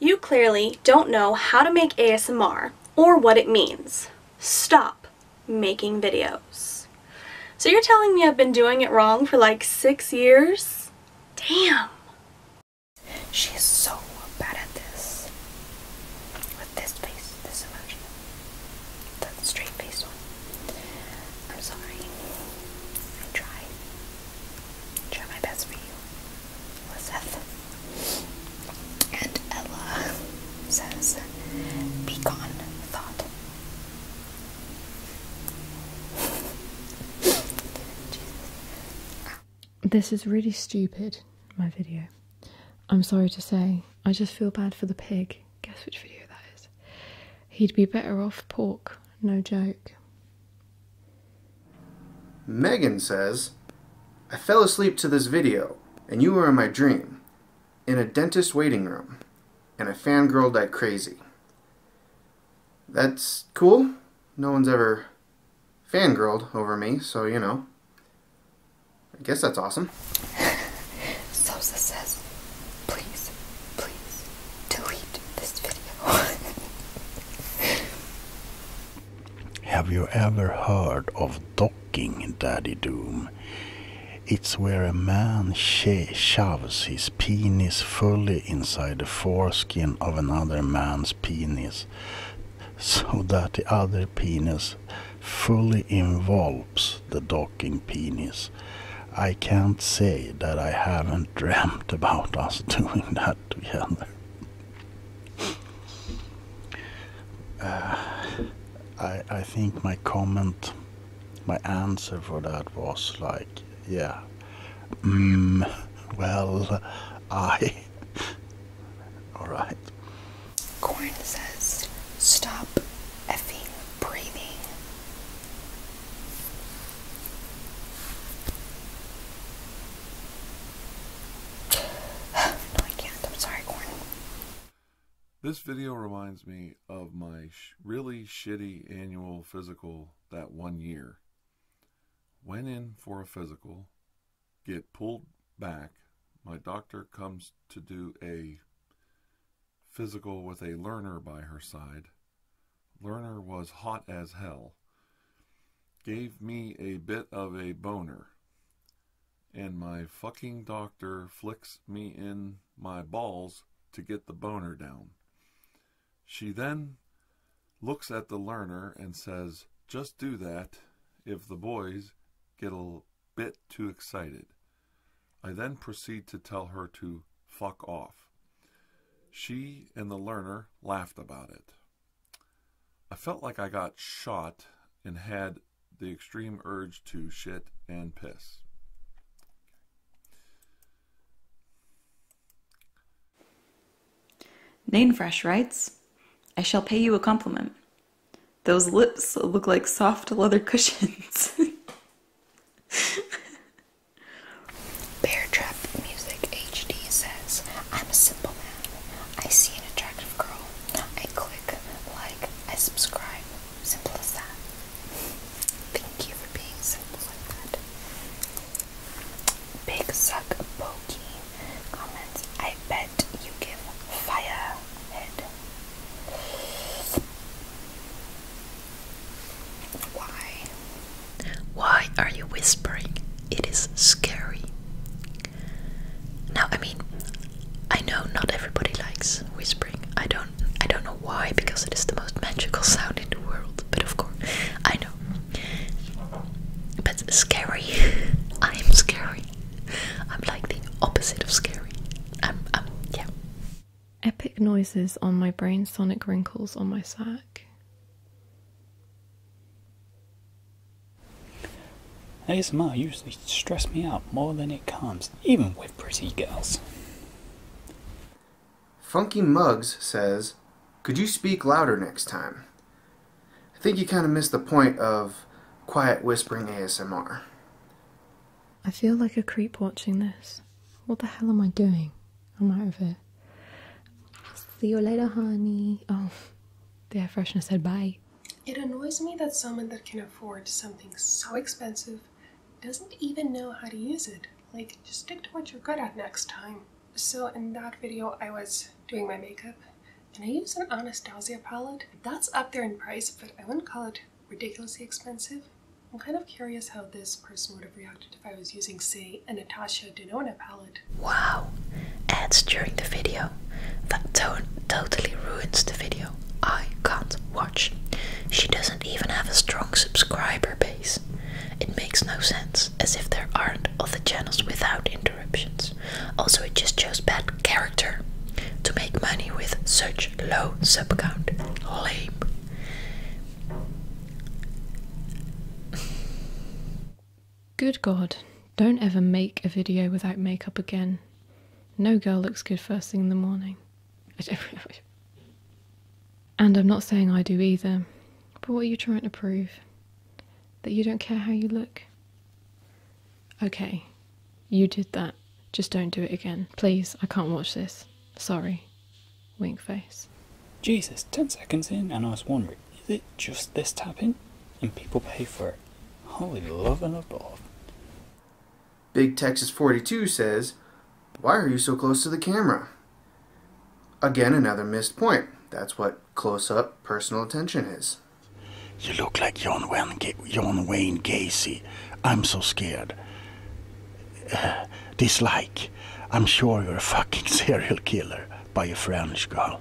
You clearly don't know how to make ASMR or what it means. Stop making videos. So you're telling me I've been doing it wrong for like six years? Damn. She so bad at this. With this face, this emotion. The straight face one. I'm sorry. I try. Try my best for you. Elizabeth. And Ella says, Be gone, thought. this is really stupid, my video. I'm sorry to say, I just feel bad for the pig. Guess which video that is? He'd be better off pork, no joke. Megan says, I fell asleep to this video, and you were in my dream, in a dentist waiting room, and I fangirled like crazy. That's cool. No one's ever fangirled over me, so you know. I guess that's awesome. Sosa says, please, please, delete this video. Have you ever heard of docking, Daddy Doom? It's where a man sh shoves his penis fully inside the foreskin of another man's penis so that the other penis fully envelops the docking penis. I can't say that I haven't dreamt about us doing that got to be on uh, I I think my comment, my answer for that was like, yeah, mm, well, I. All right. Corn says, "Stop effing breathing." This video reminds me of my really shitty annual physical that one year. Went in for a physical, get pulled back. My doctor comes to do a physical with a learner by her side. Lerner was hot as hell. Gave me a bit of a boner. And my fucking doctor flicks me in my balls to get the boner down. She then looks at the learner and says, Just do that if the boys get a bit too excited. I then proceed to tell her to fuck off. She and the learner laughed about it. I felt like I got shot and had the extreme urge to shit and piss. Nainfresh writes, I shall pay you a compliment. Those lips look like soft leather cushions. Bear Trap Music HD says, I'm a simple man. I see an attractive girl. I click, like, I subscribe. Simple as that. Thank you for being simple like that. Big Suck Pokey comments, I bet you give fire head. Why? Why are you whispering? It is scary. Now, I mean, I know not everybody likes whispering. I don't I don't know why because it is the most magical sound in the world, but of course, I know. But scary. I am scary. I'm like the opposite of scary. I'm I'm yeah. Epic noises on my brain, sonic wrinkles on my sac. ASMR usually stresses me out more than it calms, even with pretty girls. Funky Mugs says, Could you speak louder next time? I think you kind of missed the point of quiet whispering ASMR. I feel like a creep watching this. What the hell am I doing? I'm out of it. See you later, honey. Oh, the air freshener said bye. It annoys me that someone that can afford something so expensive doesn't even know how to use it. Like, just stick to what you're good at next time. So in that video, I was doing my makeup and I used an Anastasia palette. That's up there in price, but I wouldn't call it ridiculously expensive. I'm kind of curious how this person would have reacted if I was using, say, a Natasha Denona palette. Wow! Ads during the video. That tone totally ruins the video. I can't watch. She doesn't even have a strong subscriber base. It makes no sense, as if there aren't other channels without interruptions. Also, it just shows bad character to make money with such low sub count. Lame. Good God, don't ever make a video without makeup again. No girl looks good first thing in the morning. I don't And I'm not saying I do either, but what are you trying to prove? That you don't care how you look? Okay, you did that. Just don't do it again. Please, I can't watch this. Sorry. Wink face. Jesus, 10 seconds in, and I was wondering, is it just this tapping? And people pay for it. Holy love and above. Big Texas 42 says, Why are you so close to the camera? Again, another missed point. That's what close up personal attention is. You look like John Wayne Gacy. I'm so scared dislike. I'm sure you're a fucking serial killer by a French girl.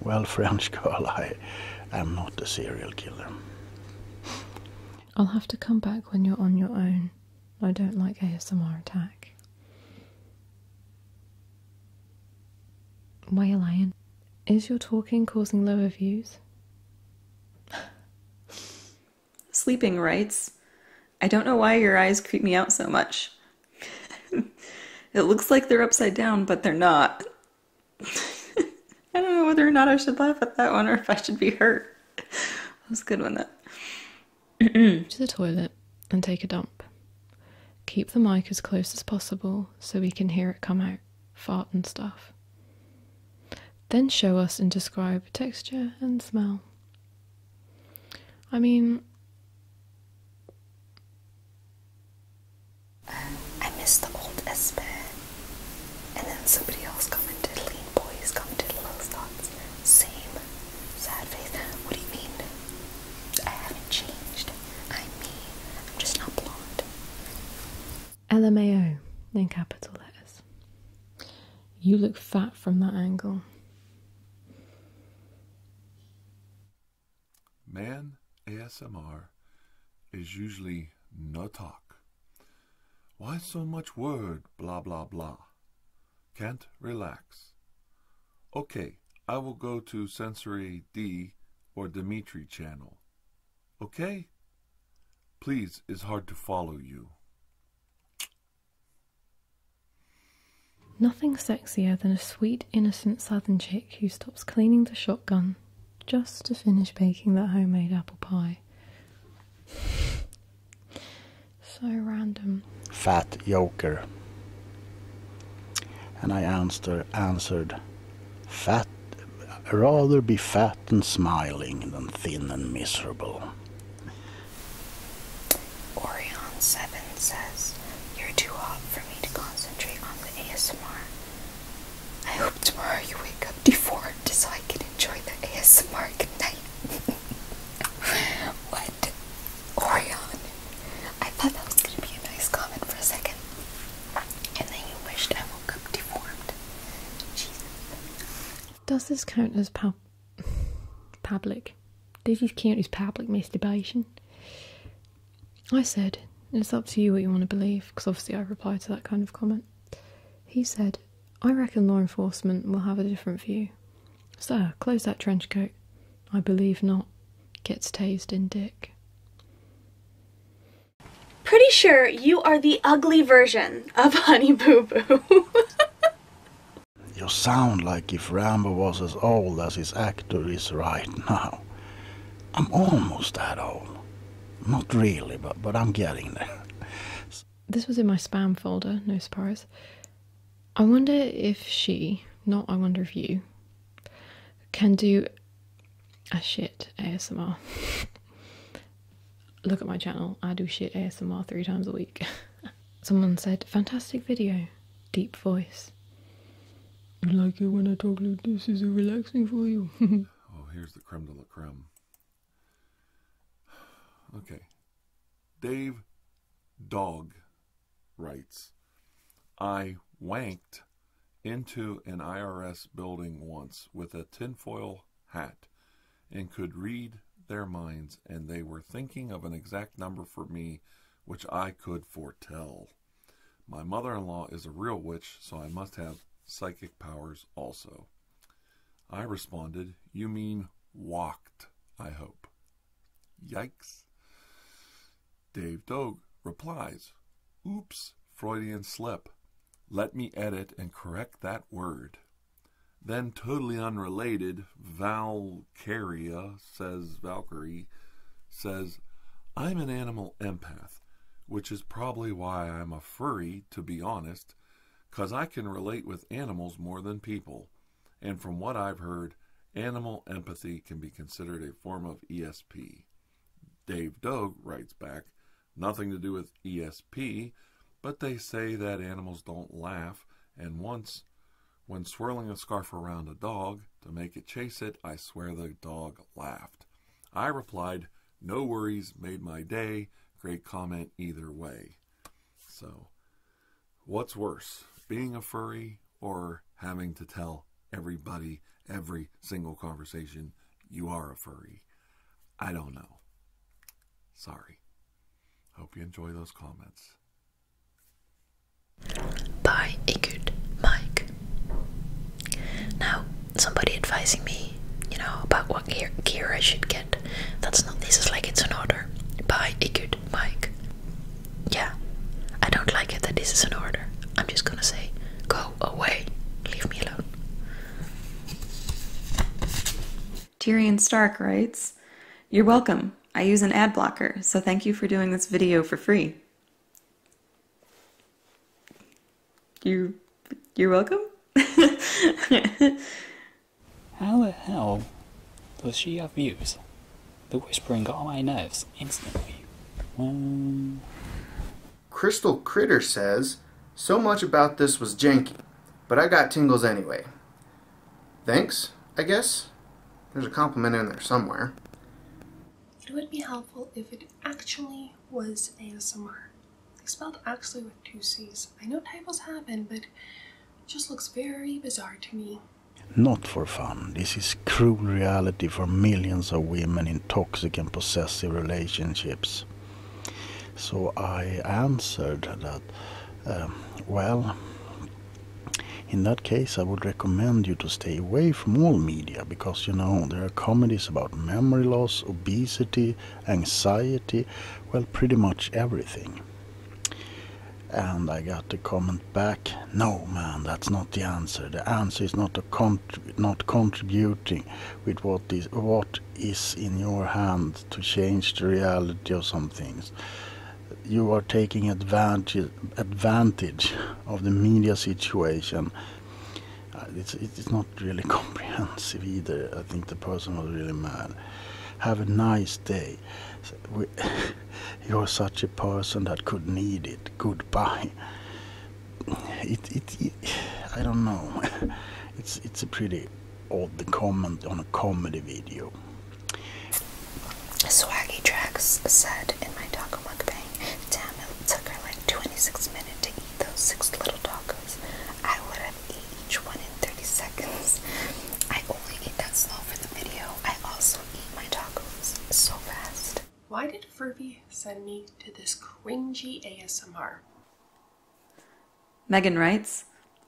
Well, French girl, I am not a serial killer. I'll have to come back when you're on your own. I don't like ASMR attack. Why a lion? Is your talking causing lower views? Sleeping rights. I don't know why your eyes creep me out so much. it looks like they're upside down, but they're not. I don't know whether or not I should laugh at that one or if I should be hurt. that was a good one, that. to the toilet and take a dump. Keep the mic as close as possible so we can hear it come out, fart and stuff. Then show us and describe texture and smell. I mean, I miss the old S Pen. And then somebody else commented, Lean Boys commented, Low Thoughts, same, sad face. What do you mean? I haven't changed. I'm me. I'm just not blonde. LMAO in capital letters. You look fat from that angle. Man ASMR is usually no talk. Why so much word, blah, blah, blah? Can't relax. Okay, I will go to Sensory D or Dimitri channel. Okay? Please, it's hard to follow you. Nothing sexier than a sweet, innocent southern chick who stops cleaning the shotgun just to finish baking that homemade apple pie. so random. Fat yoker. And I answer, answered, Fat, rather be fat and smiling than thin and miserable. Orion 7 says, You're too hot for me to concentrate on the ASMR. I hope tomorrow you wake up deformed so I can enjoy the ASMR tonight." what? Orion. I thought that was gonna be a nice comment for a second. And then you wished I woke up deformed. Jesus. Does this count as palpable? public. This is count public masturbation. I said, it's up to you what you want to believe, because obviously I replied to that kind of comment. He said, I reckon law enforcement will have a different view. Sir, close that trench coat. I believe not. Gets tased in dick. Pretty sure you are the ugly version of Honey Boo Boo. You sound like if Rambo was as old as his actor is right now. I'm almost that old. Not really, but, but I'm getting there. This was in my spam folder, no surprise. I wonder if she, not I wonder if you, can do a shit ASMR. Look at my channel. I do shit ASMR three times a week. Someone said, fantastic video. Deep voice. You like it when I talk like this. Is it relaxing for you? oh, here's the creme de la creme. Okay. Dave Dog writes, I wanked into an IRS building once with a tinfoil hat and could read their minds, and they were thinking of an exact number for me which I could foretell. My mother in law is a real witch, so I must have psychic powers also. I responded, You mean walked, I hope. Yikes. Dave Dog replies, Oops, Freudian slip. Let me edit and correct that word. Then, totally unrelated, Valkyria says, Valkyrie says, I'm an animal empath, which is probably why I'm a furry, to be honest, 'cause I can relate with animals more than people. And from what I've heard, animal empathy can be considered a form of ESP. Dave Dogue writes back, Nothing to do with ESP, but they say that animals don't laugh, and once, when swirling a scarf around a dog to make it chase it, I swear the dog laughed. I replied, No worries, made my day. Great comment either way. So, what's worse, being a furry or having to tell everybody every single conversation you are a furry? I don't know. Sorry. Hope you enjoy those comments. Buy a good mic. Now, somebody advising me, you know, about what gear, gear I should get. That's not, this is like it's an order. Buy a good mic. Yeah, I don't like it that this is an order. I'm just gonna say, go away, leave me alone. Tyrion Stark writes, You're welcome. I use an ad blocker, so thank you for doing this video for free. You, you're welcome? How the hell does she have views? The whispering got on my nerves instantly. Hmm. Crystal Critter says, so much about this was janky. But I got tingles anyway. Thanks, I guess? There's a compliment in there somewhere. It would be helpful if it actually was ASMR. I spelled actually with two C's. I know typos happen, but it just looks very bizarre to me. Not for fun. This is cruel reality for millions of women in toxic and possessive relationships. So I answered that, um, well, in that case, I would recommend you to stay away from all media because you know there are comedies about memory loss, obesity, anxiety, well, pretty much everything. And I got the comment back, no man, that's not the answer. The answer is not not contributing with what is what is in your hand to change the reality of some things. You are taking advantage advantage of the media situation. Uh, it's not really comprehensive either. I think the person was really mad. Have a nice day. you're such a person that could need it. Goodbye. it I don't know. it's it's a pretty or the comment on a comedy video. Swaggy Tracks said in my taco mukbang, damn it took her like 26 minutes to eat those six little tacos. I would have eaten each one in 30 seconds. I only eat that slow for the video. I also eat my tacos so fast. Why did Furby send me to this cringy ASMR? Megan writes,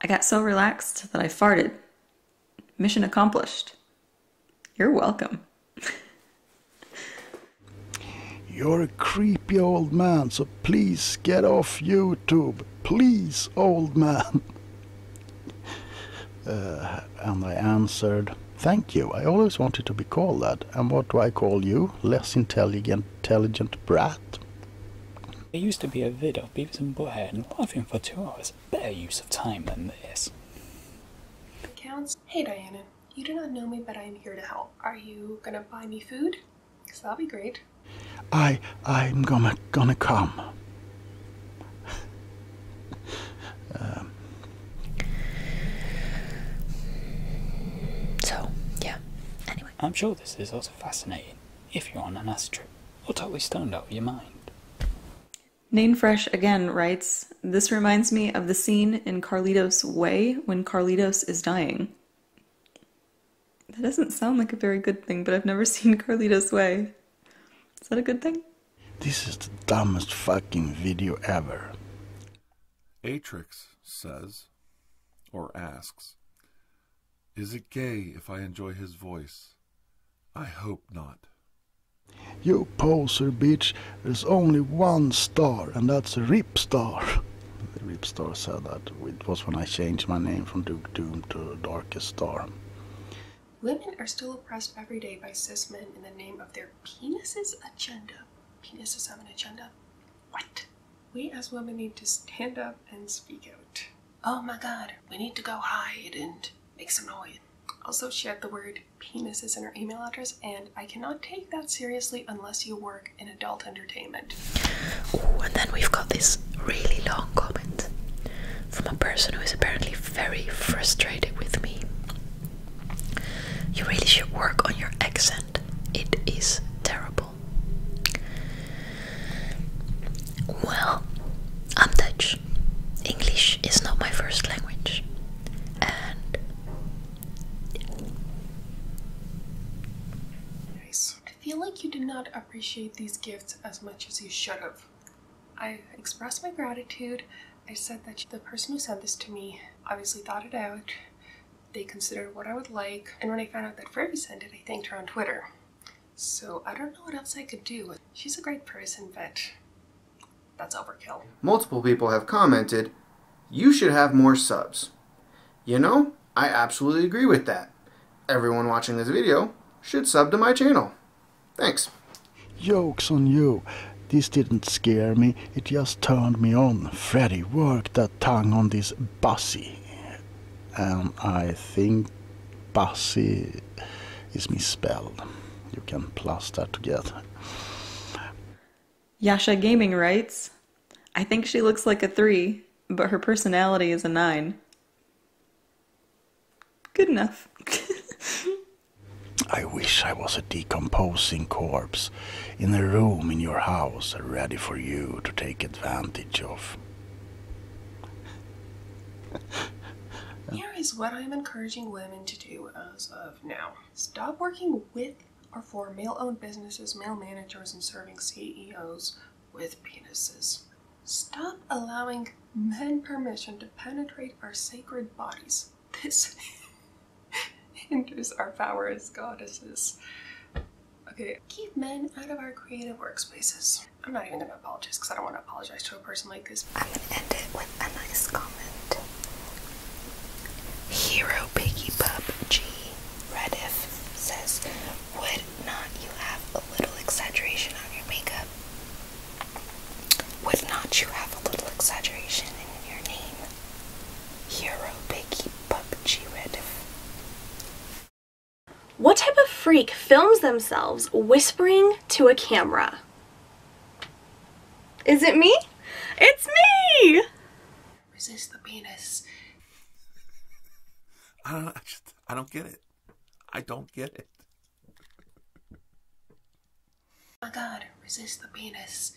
I got so relaxed that I farted. Mission accomplished. You're welcome. You're a creepy old man, so please get off YouTube. Please, old man. Uh, and I answered, Thank you. I always wanted to be called that. And what do I call you? Less intelligent intelligent brat. There used to be a vid of Beavis and Butthead and laughing for two hours. Better use of time than this. Counts. Hey Diana, you do not know me, but I am here to help. Are you gonna buy me food? Cause that'll be great. I I'm gonna gonna come. um. So yeah. Anyway. I'm sure this is also fascinating if you're on an acid trip or totally stoned out of your mind. Nain Fresh again writes, This reminds me of the scene in Carlitos' Way when Carlitos is dying. That doesn't sound like a very good thing, but I've never seen Carlitos' Way. Is that a good thing? This is the dumbest fucking video ever. Atrix says, or asks, Is it gay if I enjoy his voice? I hope not. You poser bitch, there's only one star, and that's Rip Star. The Rip Star said that it was when I changed my name from Duke Doom to Darkest Star. Women are still oppressed every day by cis men in the name of their penises agenda. Penises have an agenda? What? we as women need to stand up and speak out. Oh my god, we need to go hide and make some noise. Also, she had the word penises in her email address, and I cannot take that seriously unless you work in adult entertainment. Ooh, and then we've got this really long comment from a person who is apparently very frustrated with me. You really should work on your accent it is terrible. Well, I'm Dutch. English is not my first language, and I feel like you do not appreciate these gifts as much as you should have. I expressed my gratitude. I said that the person who sent this to me obviously thought it out they considered what I would like, and when I found out that Furby sent it, I thanked her on Twitter. So I don't know what else I could do. She's a great person, but that's overkill. Multiple people have commented, you should have more subs. You know, I absolutely agree with that. Everyone watching this video should sub to my channel. Thanks. Yokes on you. This didn't scare me, it just turned me on. Freddy worked tongue on this Bussy. And I think Bussy is misspelled. You can plaster together. Yasha Gaming writes I think she looks like a three, but her personality is a nine. Good enough. I wish I was a decomposing corpse in a room in your house are ready for you to take advantage of. Here is what I'm encouraging women to do as of now stop working with or for male owned businesses, male managers, and serving CEOs with penises. Stop allowing men permission to penetrate our sacred bodies. This hinders our powers, goddesses. Okay, keep men out of our creative workspaces. I'm not even gonna apologize because I don't want to apologize to a person like this. I'm gonna end it with a nice comment. Hero Piggy Pup G Rediff says, Would not you have a little exaggeration on your makeup? Would not you have a little exaggeration in your name? What type of freak films themselves whispering to a camera? Is it me? It's me! Resist the penis. I don't, I, just, I don't get it. I don't get it. Oh god, resist the penis.